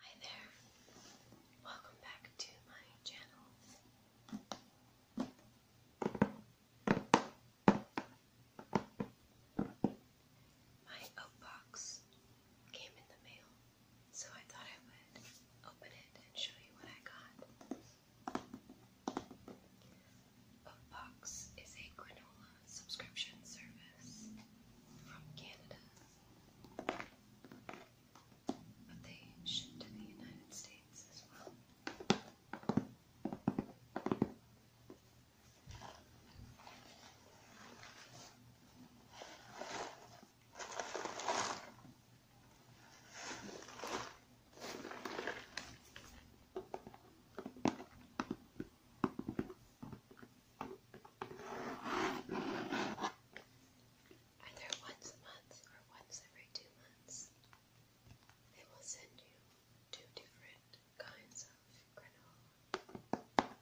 Hi there, welcome back to my channel. My oat box came in the mail, so I thought I would open it and show you what I got. Oat box is a granola subscription service from Canada. But they ship to the United States as well. Either once a month or once every two months, they will send you two different kinds of granola.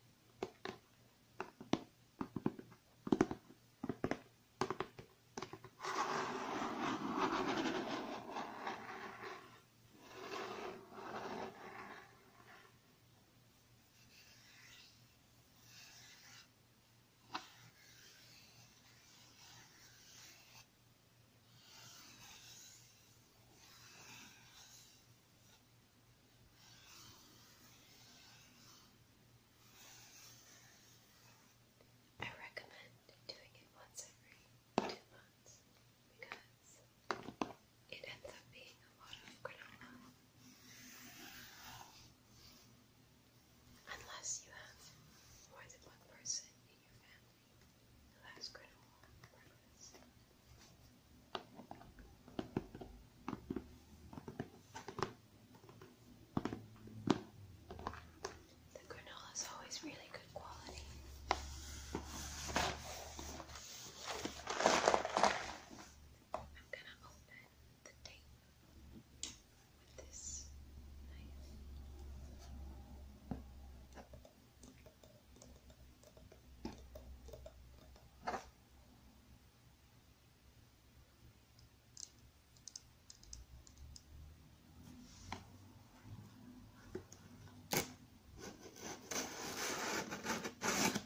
I recommend doing it once every two months because it ends up being a lot of granola Unless you have more than one person in your family The granola is always really good quality. I'm gonna open the tape with this knife.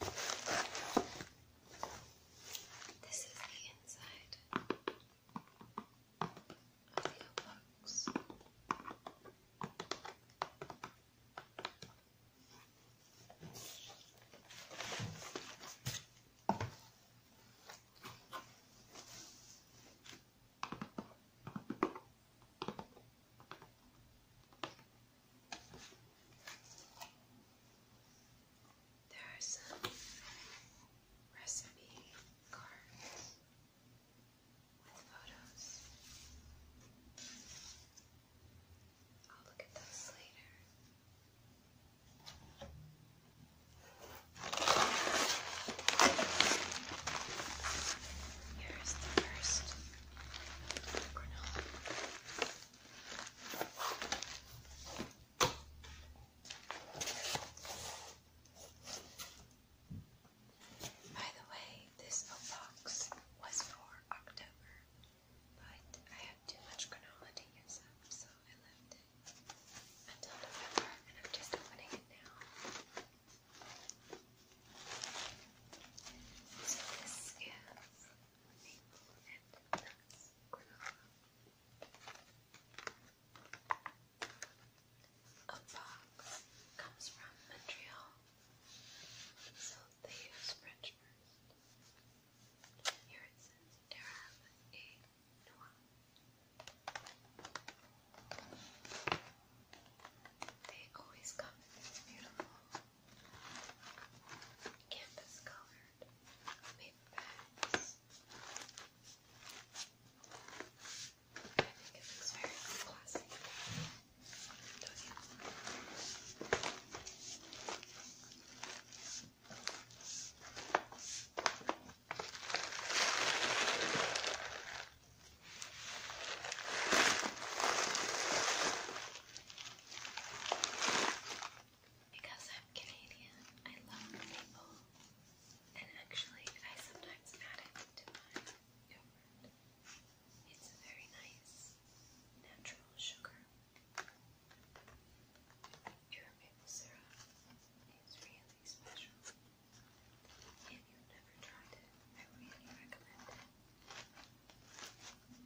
This is the inside of your box. There are some recipe cards with photos. I'll look at those later. Here's first granola. By the way, this box was for October, but I had too much granola to use up, so I left it until November, and I'm just opening it now. So this is maple and nuts A box comes from Montreal, so they use French Here it says Arab A Noir. They always come in these beautiful canvas colored paper bags. I think it looks very classy. you? Because I'm Canadian, I love maple. And actually, I sometimes add it to my It's a very nice natural sugar. Your maple syrup is really special. If you've never tried it, I really recommend it. And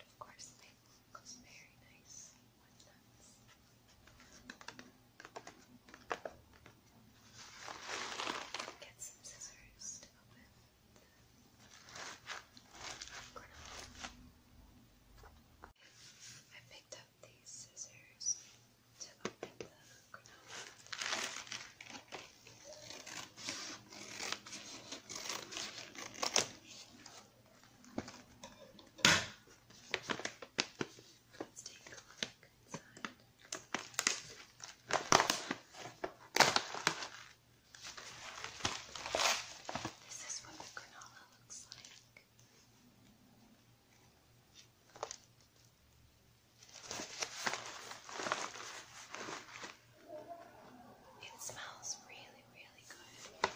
of course, maple goes very nice Get some scissors to open the granola. I picked up these scissors to open the granola. Let's take a look inside. This is what the granola looks like. It smells really, really good.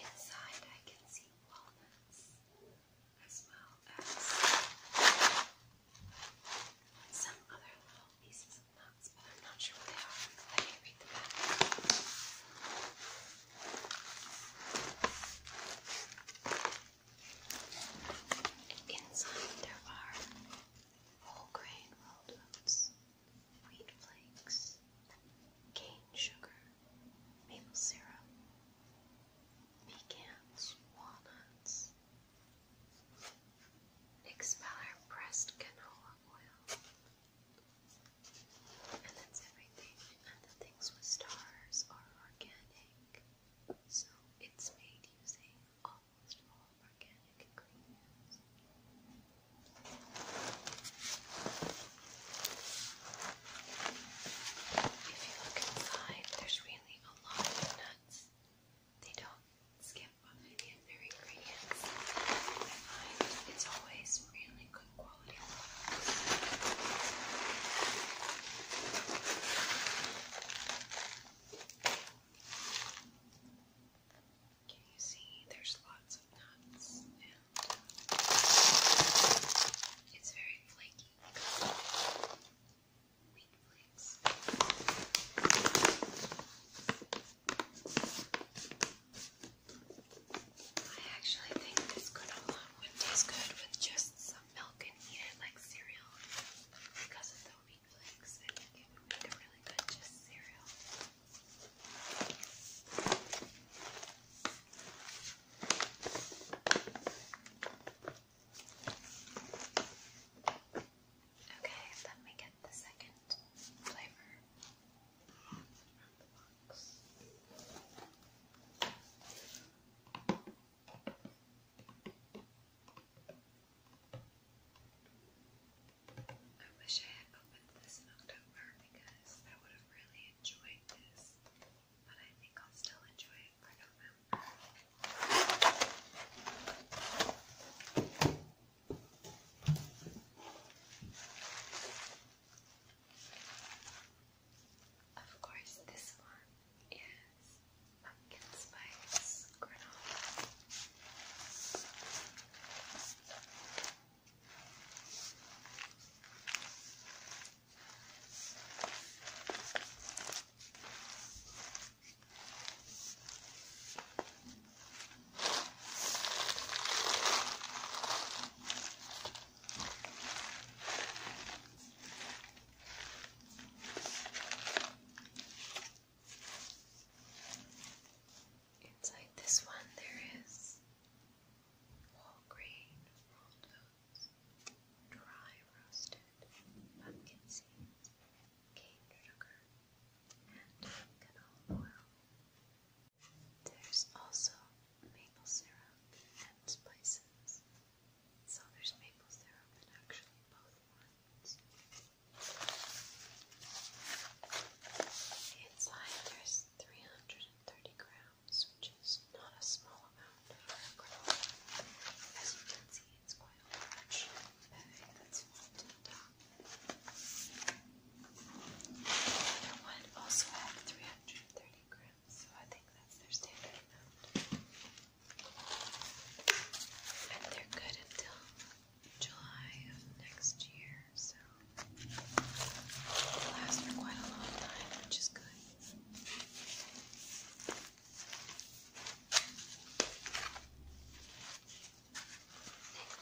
Inside, I can see walnuts as well as some other little pieces of nuts, but I'm not sure what they are. Let me read the back. Inside there are whole grain rolled oats, wheat flakes, cane sugar, maple syrup, pecans, walnuts, expeller pressed canola oil. And that's everything. And the things with stars are organic. So it's made using almost all organic ingredients. If you look inside, there's really a lot of nuts. They don't skip on any ingredients. I find it's always really good quality can you see there's lots of nuts and uh, it's very flaky wheat flakes. I actually think this granola would taste with milk and eat it like cereal because of the wheat flakes. I think it really good just cereal. Okay, let me get the second flavor from the box. I wish I had opened this in October because I would have really enjoyed this, but I think I'll still enjoy it for November. Of course, this one is pumpkin spice granola. Inside this one, there is whole grain rolled oats, dry roasted pumpkin seeds, cane sugar, and canola oil. There's also maple syrup and spices, so there's maple syrup and actually both ones. Inside there's 330 grams, which is not a small amount As you can see, it's quite large that's filled the top. The other one also had 330 grams, so I think that's their standard amount. And they're good until July of next year, so they last for quite a long time, which is good.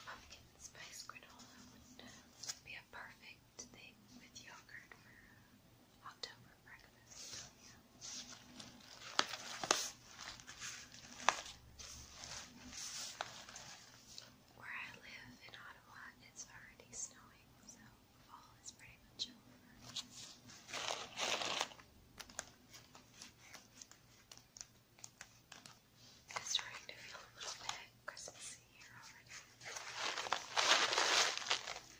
pumpkin spice granola would uh, be a perfect thing with yogurt for uh, October breakfast. Where I live in Ottawa, it's already snowing, so fall is pretty much over. It's starting to feel a little bit Christmassy here already. I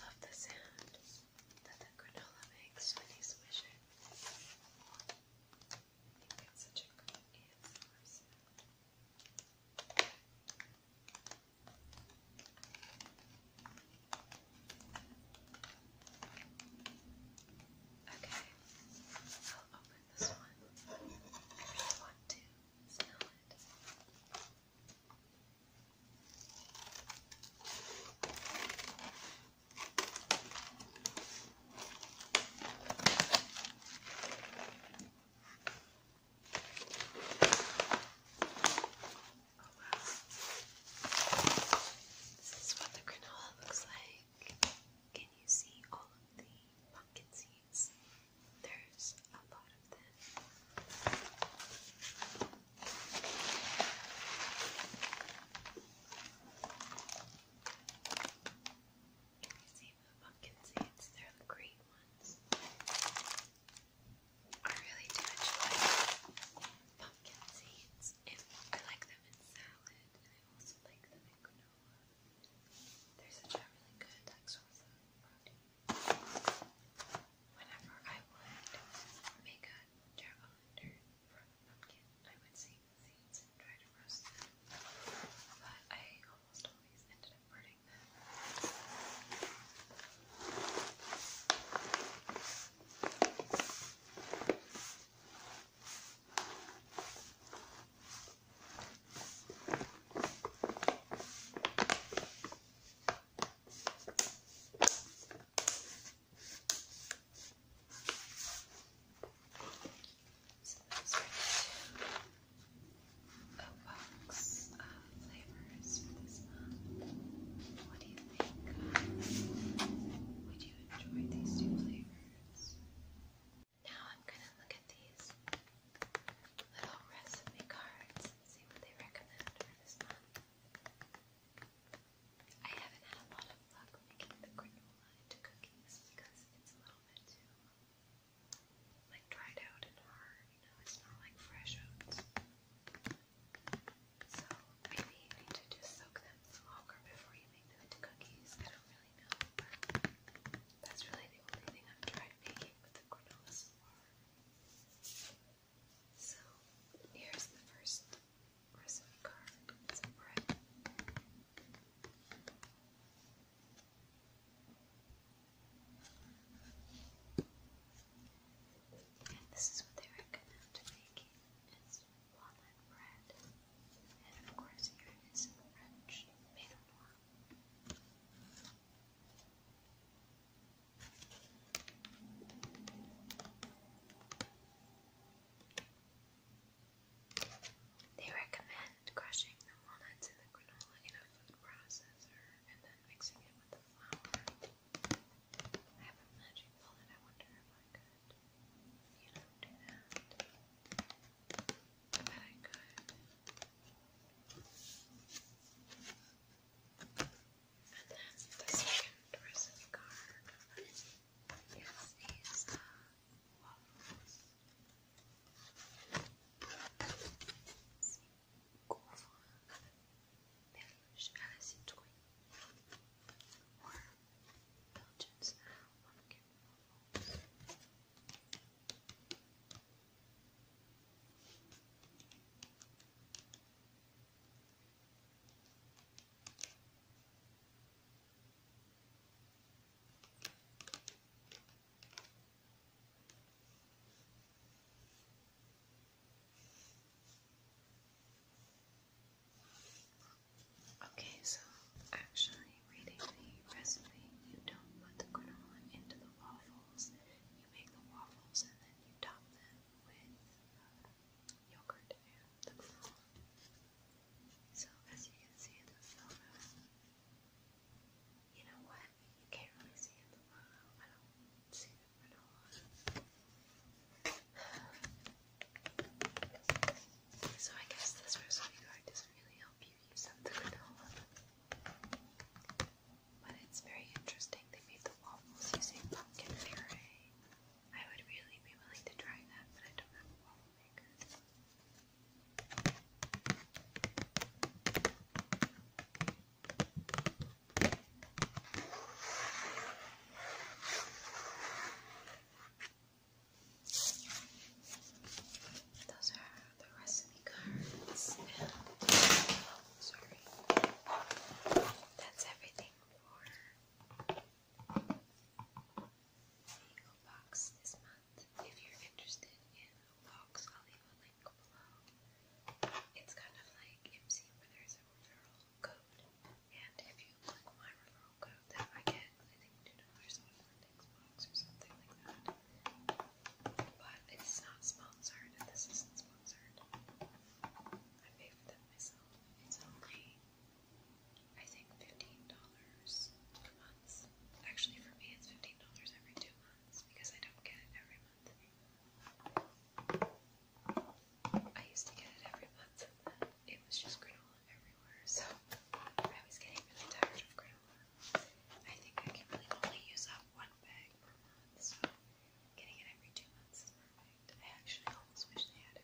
love the sound that the granola makes when he swishes. it. such a good ASMR Okay, I'll open this one. I really want to smell it. Oh, This is what the granola looks like. Can you see all of the pumpkin seeds? There's a lot of this. you see the pumpkin seeds? They're the great ones. I really do enjoy pumpkin seeds. I like them in salad, and I also like them in granola. They're such a really good like source Whenever I would make a jack o from pumpkin, I would save seeds and try to but I almost always ended up burning them. So box of flavors for this month. What do you think? Would you enjoy these two flavors? Now I'm gonna look at these little recipe cards and see what they recommend for this month. I haven't had a lot of luck making the granola into cookies because it's a little bit too like dried out and hard, you know, it's not like fresh oats. So maybe you need to just soak them longer before you make them into cookies. I don't really know, that's really the only thing I've tried making with the granola so far. So here's the first recipe card. this is what they recommend making. It's walnut bread. And of course here French, made they recommend crushing the walnuts in the granola in a food processor and then mixing it with the flour. I have a magic bullet. I wonder if I could. You do do that. I bet I could. And then the second prison card is these uh, waffles. Curva, Belgian or Belgian pumpkin Okay, so actually, reading the recipe, you don't put the granola into the waffles. You make the waffles and then you top them with uh, So as you can see in the photo, you know what? You can't really see in the photo. I don't see it at So I guess this recipe guide doesn't really help you use up the granola. But it's very interesting. They made the waffles using pumpkin puree. I would really be willing to try that, but I don't have a waffle maker. Those are the recipe cards sorry. That's everything for the box this month. If you're interested in a box, I'll leave a link below. It's kind of like MC where there's a referral code. And if you click my referral code that I get, I think two dollars off the next box or something like that. But it's not sponsored and this isn't sponsored. I pay for them myself. It's only, I think, fifteen dollars per month. Actually, for me, it's fifteen dollars every two months because I don't get it every month I used to get it every month, and then it was just granola everywhere, so I was getting really tired of granola. I think I can really only use up one bag per month, I actually almost wish they had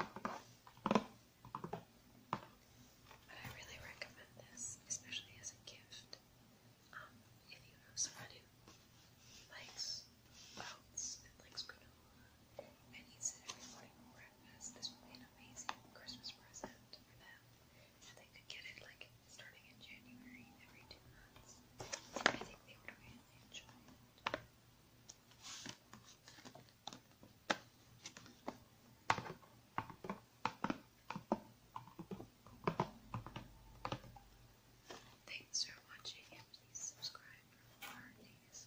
But I really recommend this, especially as a gift. Um, if you know someone who likes oats and likes granola and eats it every morning for breakfast, this would be an amazing Christmas present for them. And they could get it like starting in January every two months. I think they would really enjoy it. Thanks for watching and please subscribe for more days.